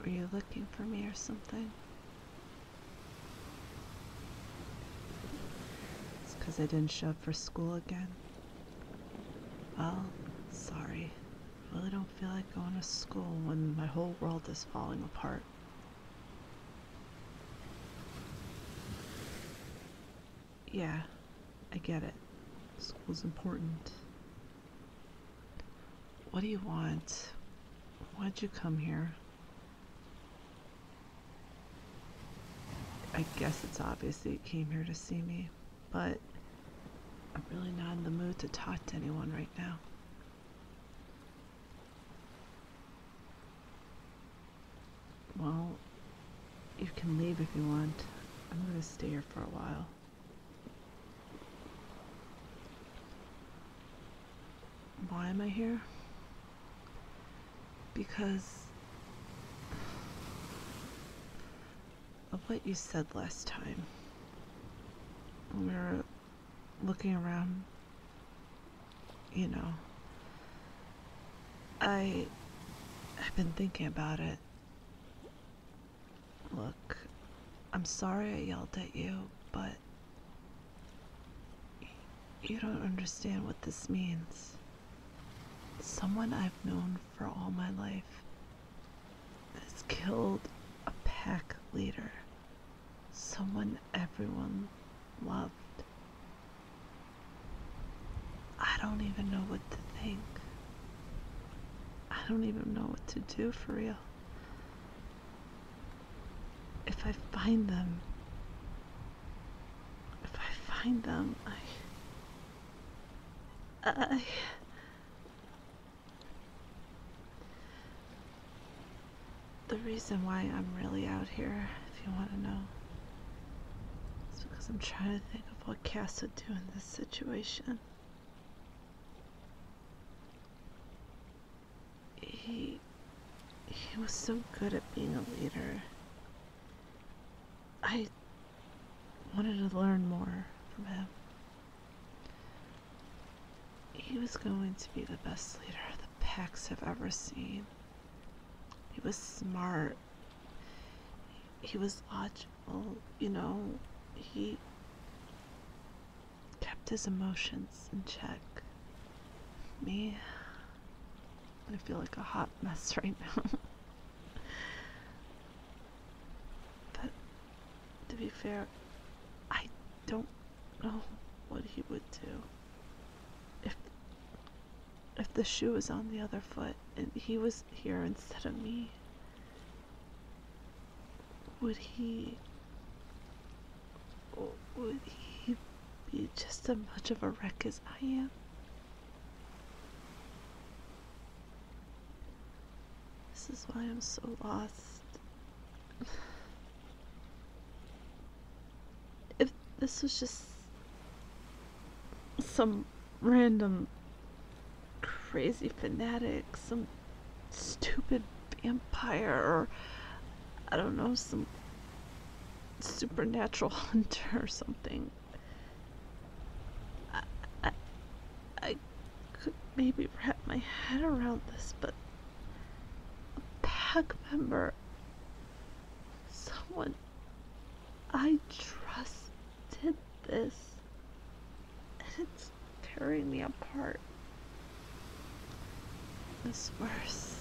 Were you looking for me or something? It's because I didn't show up for school again. Well, sorry. I really don't feel like going to school when my whole world is falling apart. Yeah, I get it. School's important. What do you want? Why'd you come here? I guess it's obvious that you came here to see me, but I'm really not in the mood to talk to anyone right now. Well, you can leave if you want. I'm gonna stay here for a while. Why am I here? Because of what you said last time. When we were looking around, you know. I I've been thinking about it. Look, I'm sorry I yelled at you, but you don't understand what this means. Someone I've known for all my life has killed a pack leader, someone everyone loved. I don't even know what to think. I don't even know what to do for real. If I find them, if I find them, I. I. The reason why I'm really out here, if you want to know, is because I'm trying to think of what Cass would do in this situation. He, he was so good at being a leader. I wanted to learn more from him. He was going to be the best leader the Packs have ever seen. He was smart. He was logical well, you know, he kept his emotions in check. Me, I feel like a hot mess right now. but to be fair, I don't know what he would do if if the shoe was on the other foot and he was here instead of me would he would he be just as much of a wreck as I am? This is why I'm so lost. if this was just some random crazy fanatic, some stupid vampire, or I don't know, some supernatural hunter or something. I, I, I could maybe wrap my head around this, but a pack member, someone I trust did this and it's tearing me apart. What's worse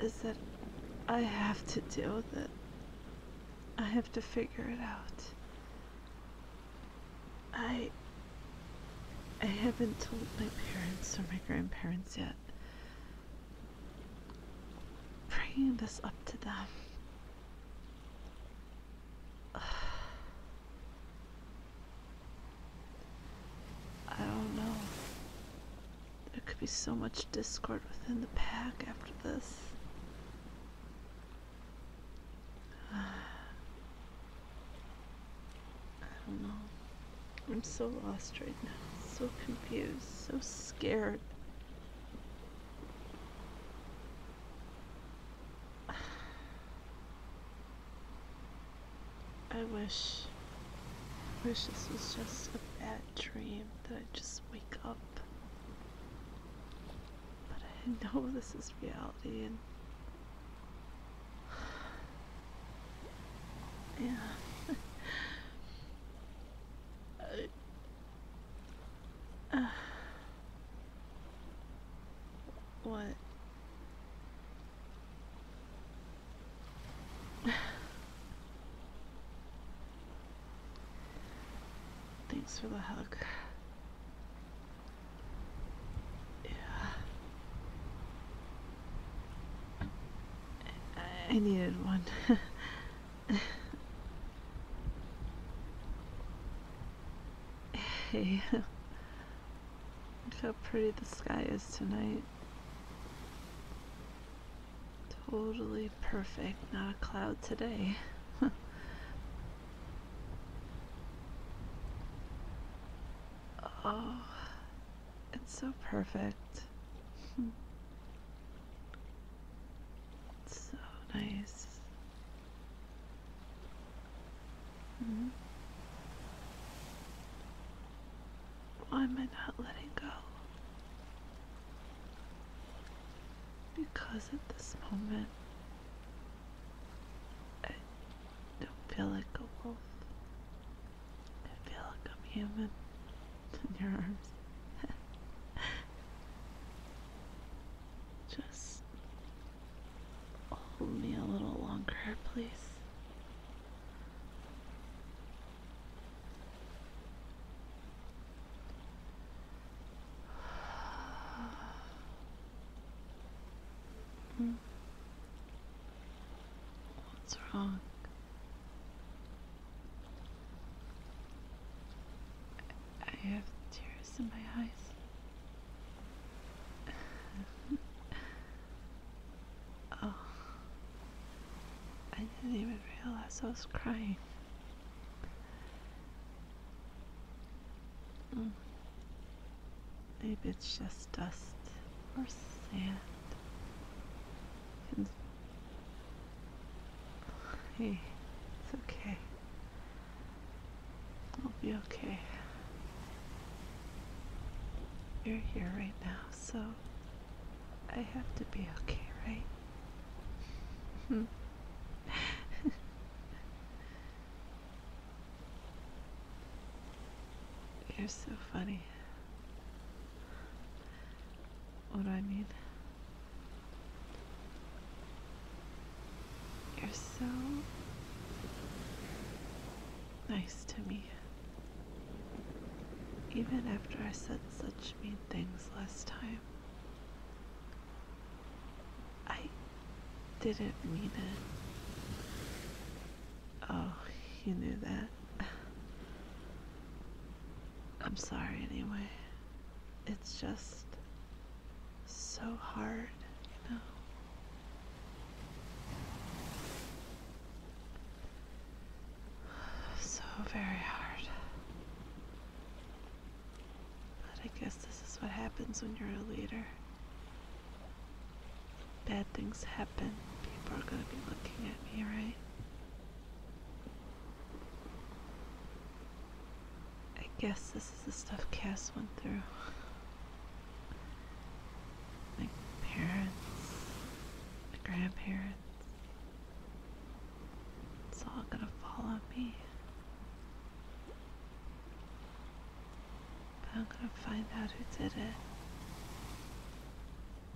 is that I have to deal with it. I have to figure it out. I I haven't told my parents or my grandparents yet. Bringing this up to them. I don't know. There could be so much discord within the pack after this. I don't know. I'm so lost right now, so confused, so scared. I wish, wish this was just a bad dream that I just wake up. But I know this is reality and yeah. Uh, what? Thanks for the hug. Yeah. I needed one. hey, look how pretty the sky is tonight. Totally perfect, not a cloud today. oh, it's so perfect. It's so nice. Hmm. Why am I not letting go? Because at this moment, I don't feel like a wolf. I feel like I'm human in your arms. Just hold me a little longer, please. Hmm. What's wrong? I have tears in my eyes. oh, I didn't even realize I was crying. Mm. Maybe it's just dust or sand. hey, it's okay. I'll be okay. You're here right now, so I have to be okay, right? You're so funny what do I mean. You're so nice to me. Even after I said such mean things last time, I didn't mean it. Oh, you knew that. I'm sorry anyway. It's just so hard, you know. So very hard. But I guess this is what happens when you're a leader bad things happen, people are gonna be looking at me, right? I guess this is the stuff Cass went through. My parents, my grandparents. It's all gonna fall on me. I'm gonna find out who did it.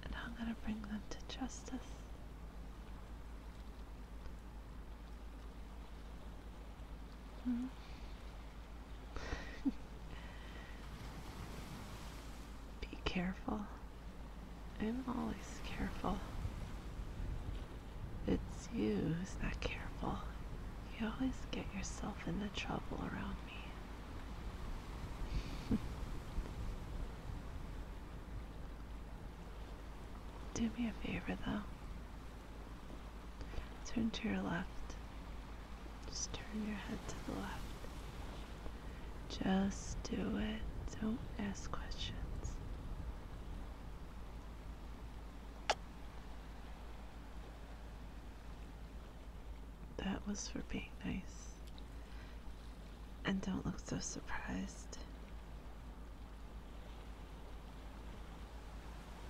And I'm gonna bring them to justice. Hmm? Be careful. I'm always careful. It's you who's not careful. You always get yourself into trouble around me. Do me a favor though. Turn to your left. Just turn your head to the left. Just do it. Don't ask questions. That was for being nice. And don't look so surprised.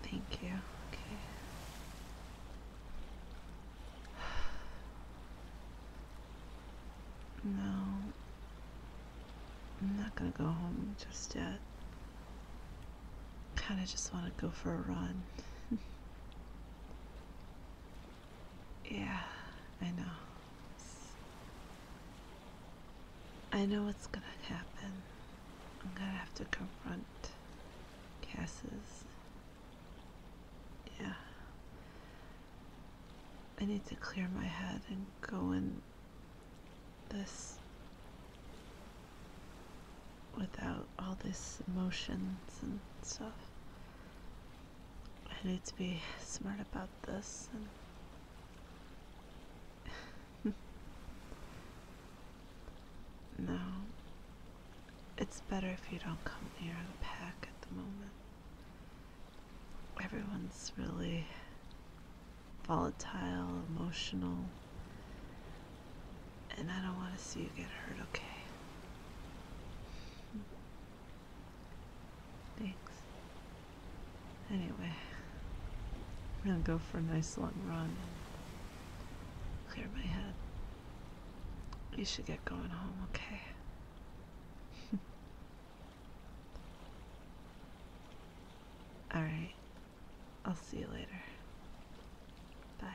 Thank you. Okay. No. I'm not gonna go home just yet kind of just want to go for a run. yeah, I know. I know what's gonna happen. I'm gonna have to confront Cass's. Yeah. I need to clear my head and go and this without all this emotions and stuff. I need to be smart about this and no. It's better if you don't come near the pack at the moment. Everyone's really volatile, emotional. And I don't want to see you get hurt, okay? Thanks. Anyway, we're gonna go for a nice long run clear my head. You should get going home, okay? Alright, I'll see you later. Bye.